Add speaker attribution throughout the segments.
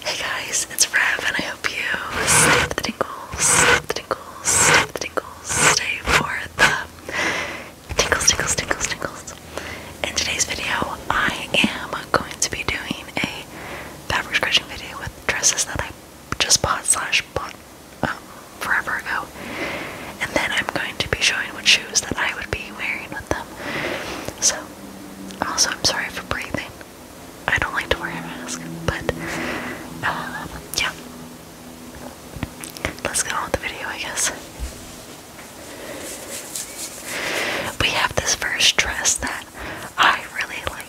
Speaker 1: Hey guys, it's Rev, and I hope you stay with the tingles, tingles, tingles, stay for the tingles, tingles, tingles, tingles. In today's video, I am going to be doing a fabric scratching video with dresses that I just bought slash bought um, forever ago, and then I'm going to be showing what shoes that I would be wearing with them. So, also, I'm sorry for breathing. I don't like to wear a mask, but um, yeah. Let's get on with the video, I guess. We have this first dress that I really like.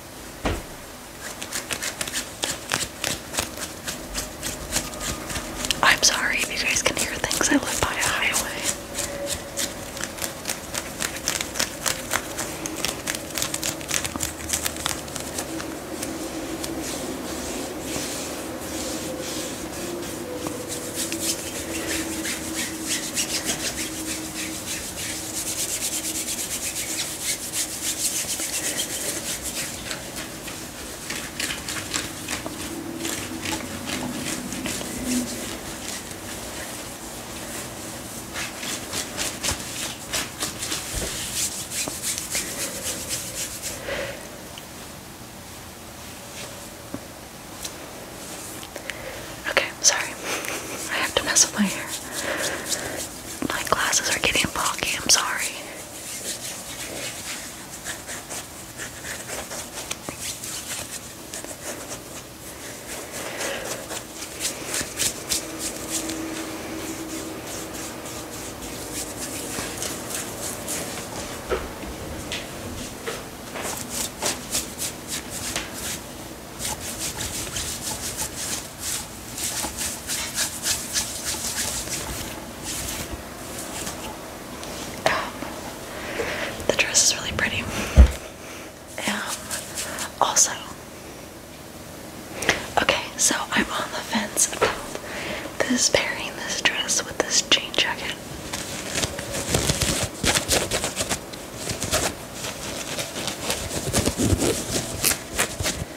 Speaker 1: I'm sorry if you guys can hear things. I live by a highway. Okay, I'm sorry. I have to mess with my hair. My glasses are getting foggy, I'm sorry. Um, the dress is really pretty. Um, also, okay, so I'm on the fence about this pairing this dress with this jean jacket.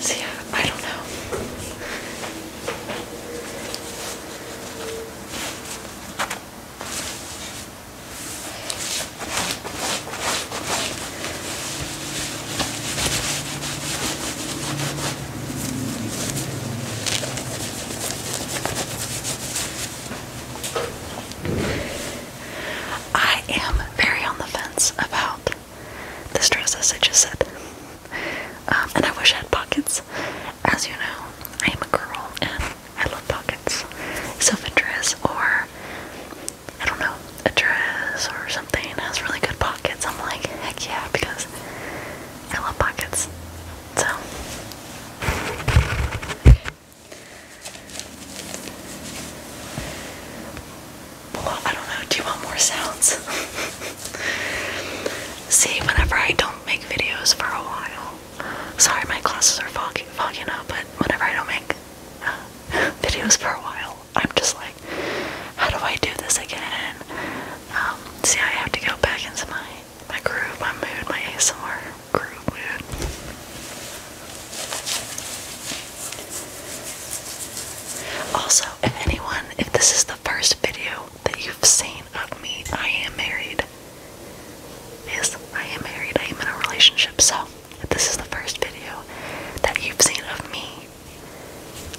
Speaker 1: See, yeah, I don't know. I am very on the fence about this dress, as I just said. Um, and I wish I had pockets. As you know, I am a girl and I love pockets. So if a dress or, I don't know, a dress or something has really good pockets, I'm like, heck yeah, because I love pockets. So. I don't know. Do you want more sounds? See, whenever I don't make videos for a while, sorry, my classes are fogging, fogging up, but whenever I don't make uh, videos for a while, I'm just like, how do I do this again? Um, see, I have to go back into my my groove, my mood, my ASMR groove mood. Also, if anyone, if this is the first video that you've seen of me, I am married. Yes, I am married. I am in a relationship. So, if this is the first video that you've seen of me,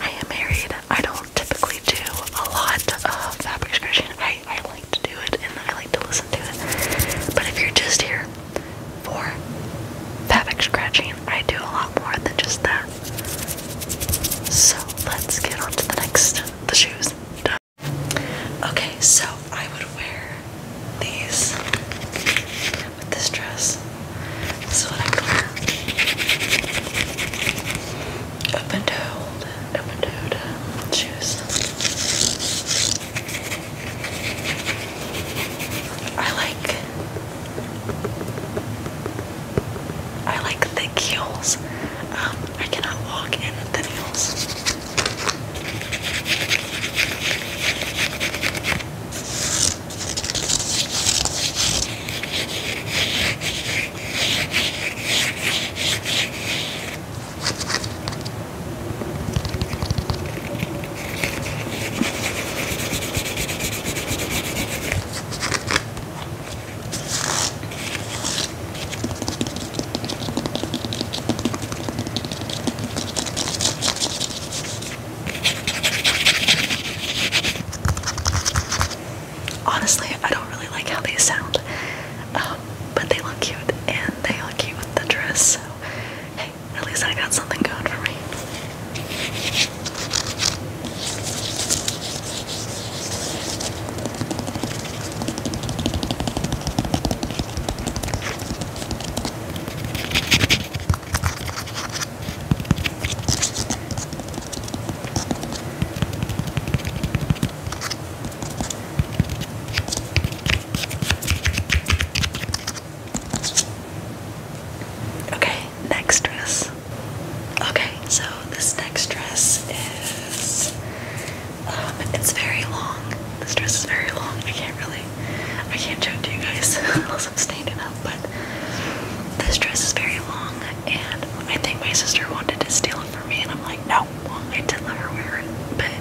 Speaker 1: I am married. I don't typically do a lot of fabric scratching. I, I like to do it and I like to listen to it. But if you're just here, for fabric scratching. I do a lot more than just that. So let's get on to the next, the shoes. Okay, so I would wear these with this dress. This is what I wear. Open-toed, open-toed shoes. I like I like thick heels. Um, I cannot walk in thin heels. Honestly, I don't really like how they sound, um, but they look cute and they look cute with the dress. So, at least I got something good for me. Okay, next dress. Okay, so this next dress is um it's very long. This dress is very long. I can't really I can't show it to you guys unless I'm standing up, but this dress is very long and I think my sister wanted to steal it from me and I'm like, no, I did let her wear it, but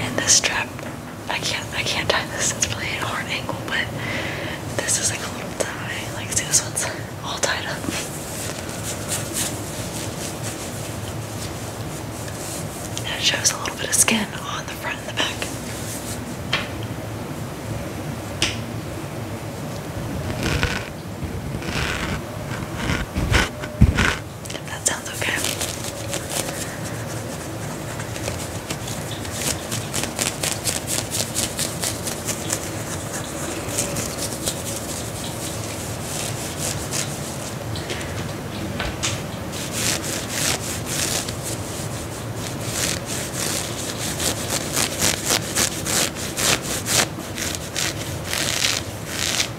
Speaker 1: and this strap, I can't I can't tie this, it's really a hard angle, but this is like a little tie. Like see this one's all tied up. And it shows a little bit of skin on the front and the back that sounds Okay.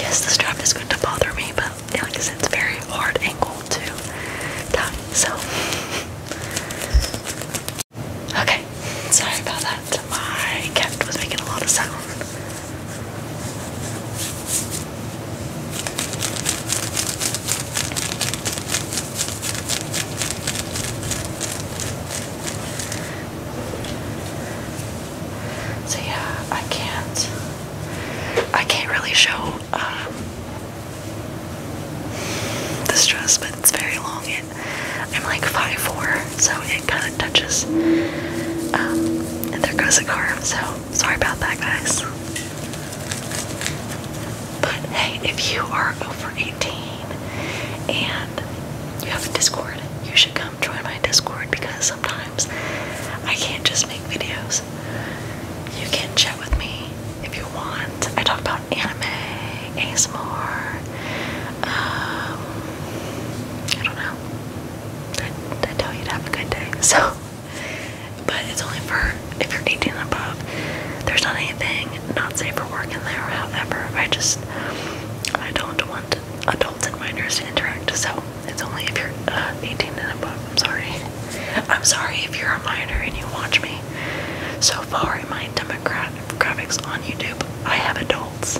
Speaker 1: Yes, this job is going to bother me, but like I said, it's very hard angle to tie, so Okay, sorry about that. I kept was making a lot of sound. So yeah, I can't I can't really show The this dress, but it's very long. It, I'm like five four, so it kind of touches. Um, and there goes a car. so sorry about that, guys. But hey, if you are over 18 and you have a Discord, you should come join my Discord because sometimes I can't just make videos you can chat with me if you want. I talk about anime, ASMR, um, I don't know. I, I tell you to have a good day, so. But it's only for if you're 18 and above. There's not anything not safe for work in there, however. I just, I don't want adults and minors to interact, so it's only if you're uh, 18 and above. I'm sorry. I'm sorry if you're a minor and you watch me. So far in my demographics on YouTube, I have adults.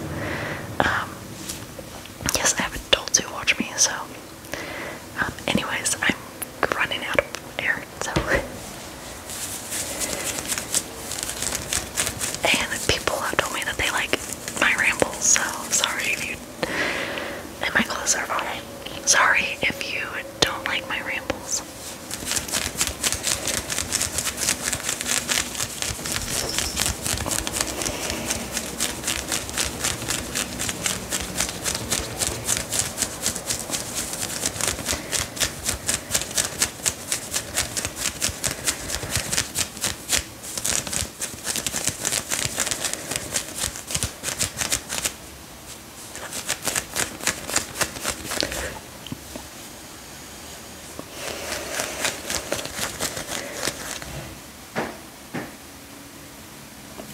Speaker 1: Um, yes, I have adults who watch me, so. Um, anyways, I'm running out of air, so. And people have told me that they like my rambles, so sorry if you. And my clothes are fine. Sorry if you don't like my rambles.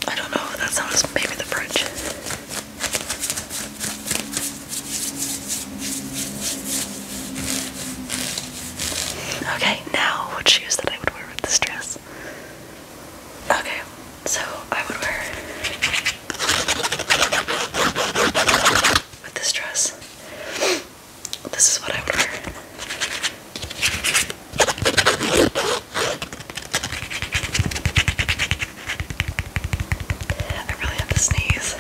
Speaker 1: I don't know that sounds maybe the French. Okay, now what shoes that I would wear with this dress? Okay, so I would wear with this dress. This is what I would wear. I really have to sneeze.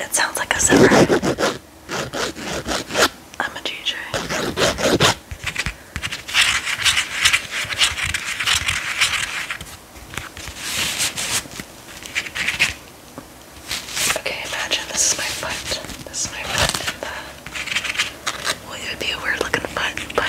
Speaker 1: It sounds like a zipper. I'm a DJ. Okay, imagine this is my foot. This is my foot. Well, it would be a weird looking foot, but.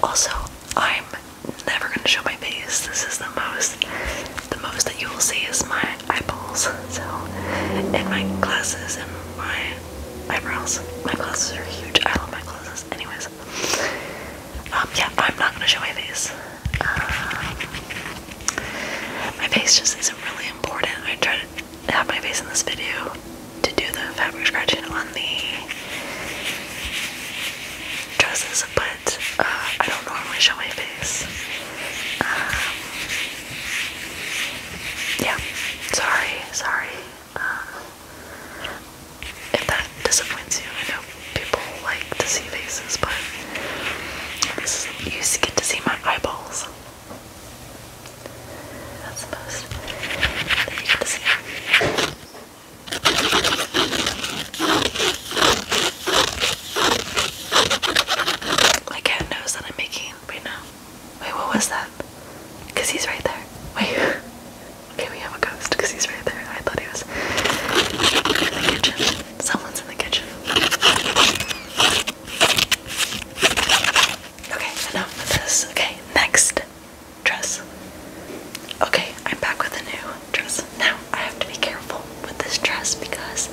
Speaker 1: Also, I'm never gonna show my face. This is the most the most that you will see is my eyeballs. So and my glasses and my eyebrows. My glasses are huge. I love my glasses. Anyways. Um yeah, I'm not gonna show my face. Uh, my face just isn't really important. I try to have my face in this video to do the fabric scratching on the dresses, but uh, I don't normally show my face. Um, yeah, sorry, sorry. Uh, if that disappoints you, I know people like to see faces, but this is, you just get to see my eyeballs. That's the most you see. My cat knows that I'm making right now. Wait, what was that? Because he's right there. Wait. Okay, we have a ghost because he's right there. I thought he was in the kitchen. Someone's in the kitchen. Okay, enough with this. Okay, next dress. Okay, I'm back with a new dress. Now, I have to be careful with this dress because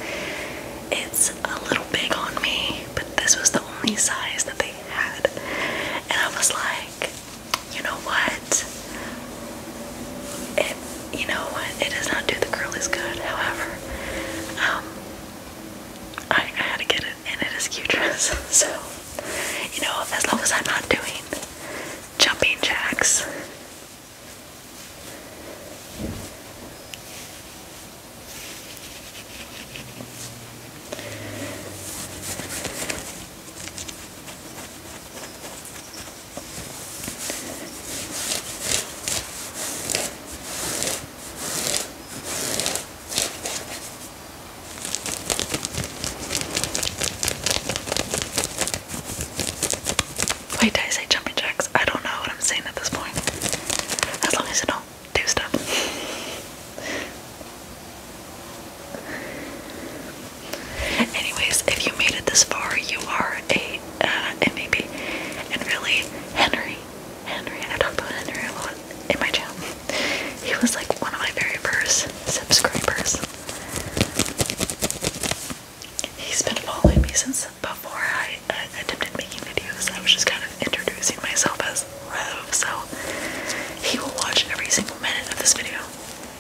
Speaker 1: it's a little big on me, but this was the only size that they had. And I was like, you know what? it, you know what, it does not do the curlies good. However, um, I, had to get it, and it is Q-Dress, so, you know, as long as I'm not doing jumping jacks. Wait, did I say jumping jacks? I don't know what I'm saying at this point. As long as you don't do stuff. Anyways, if you made it this far, you are a uh, MVP. And really, Henry, Henry, I talk about Henry in my channel. He was like one of my very first subscribers. He's been following me since before I uh, attempted making videos. I was just kind of introducing myself as Rev, so he will watch every single minute of this video.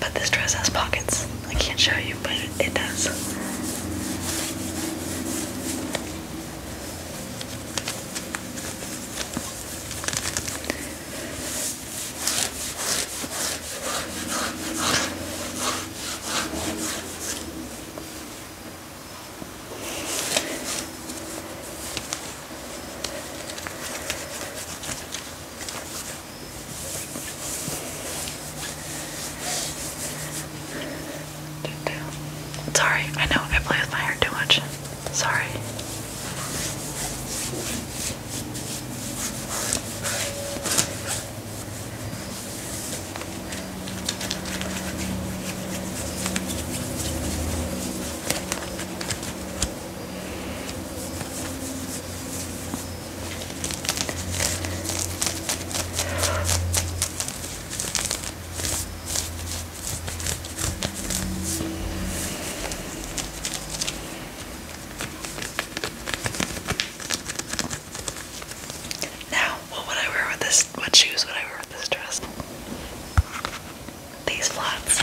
Speaker 1: But this dress has pockets. I can't show you, but it, does. Sorry, I know I play with my hair too much. Sorry. Now, what would I wear with this? What shoes would I wear with this dress? These flats.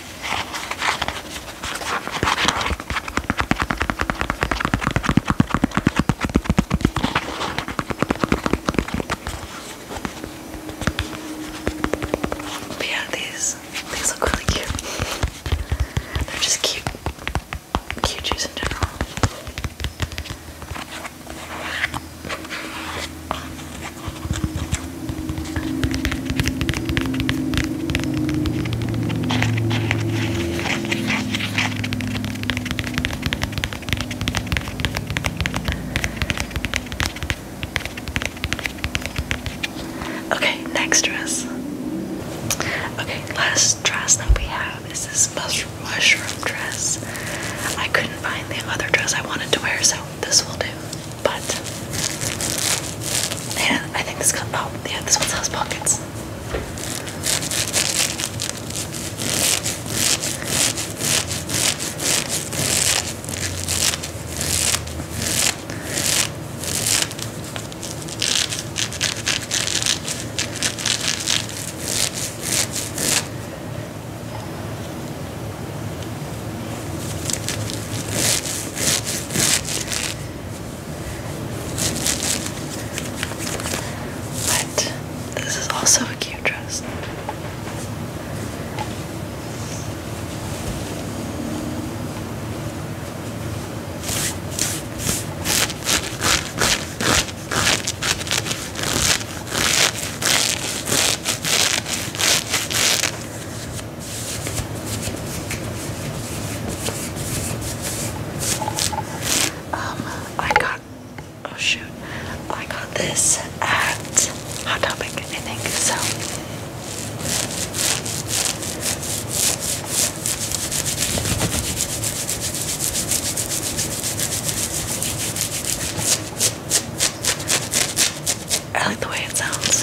Speaker 1: But yeah, these these look really cute. They're just cute, cute shoes in general. Okay, next dress. Okay, last dress that we have is this mushroom, mushroom dress. I couldn't find the other dress I wanted to wear, so this will do. But yeah, I think this oh yeah, this one has pockets. But this is also a cute dress. Um, I got oh shoot, I got this at Hot Topic, I think so. I like the way it sounds.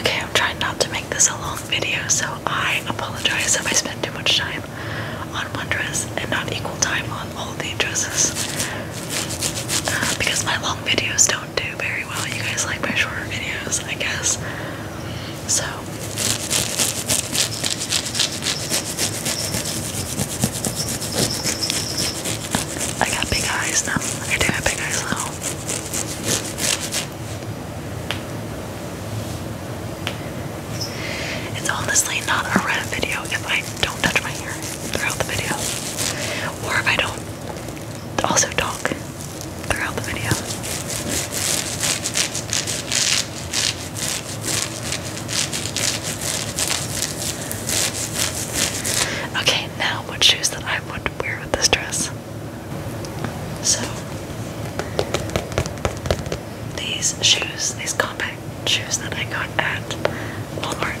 Speaker 1: Okay, I'm trying not to make this a long video, so I apologize if I spend too much time on one dress and not equal time on all the dresses. Uh, because my long videos don't do very well. You guys like my shorter videos, I guess. So. I got big eyes now. I do have big eyes now. It's honestly not a red video if I don't touch my hair throughout the video. Or if I don't also talk throughout the video. Okay, now what shoes that I would wear with this dress? So, these shoes, these compact shoes that I got at Walmart.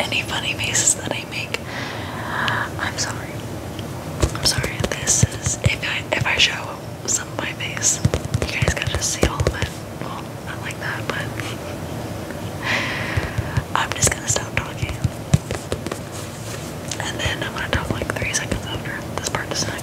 Speaker 1: any funny faces that I make. I'm sorry. I'm sorry. This is if I if I show some of my face, you guys gotta just see all of it. Well, not like that, but I'm just gonna stop talking. And then I'm gonna talk like three seconds after. This part does not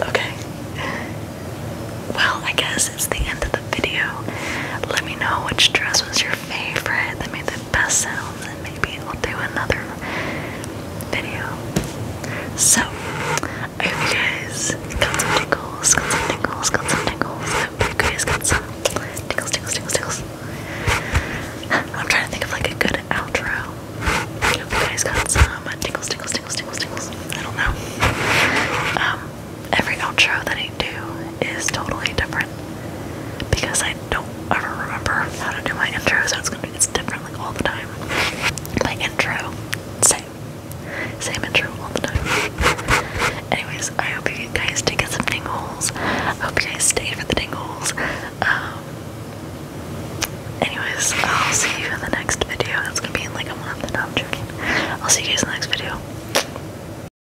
Speaker 1: Okay. Well, I guess it's the end of the video. Let me know which dress was your favorite, that made the best sounds, and maybe we'll do another video. So, I guys got some tickles, got some tickles, got some tickles. I guys got some tickles, tickles, tickles, tickles. I'm trying to think of like a good outro. guys got some tickles, tickles, tickles, tickles, tickles. I don't know. Um, every outro that I do is totally different because I don't ever remember how to do my intro, so it's it's different like all the time. My intro, same, same intro all the time. Anyways, I hope you guys did get some dingles. I hope you guys stayed for the dingles. Um, anyways, I'll see you in the next video. It's gonna be in like a month. I'm joking. I'll see you guys in the next video.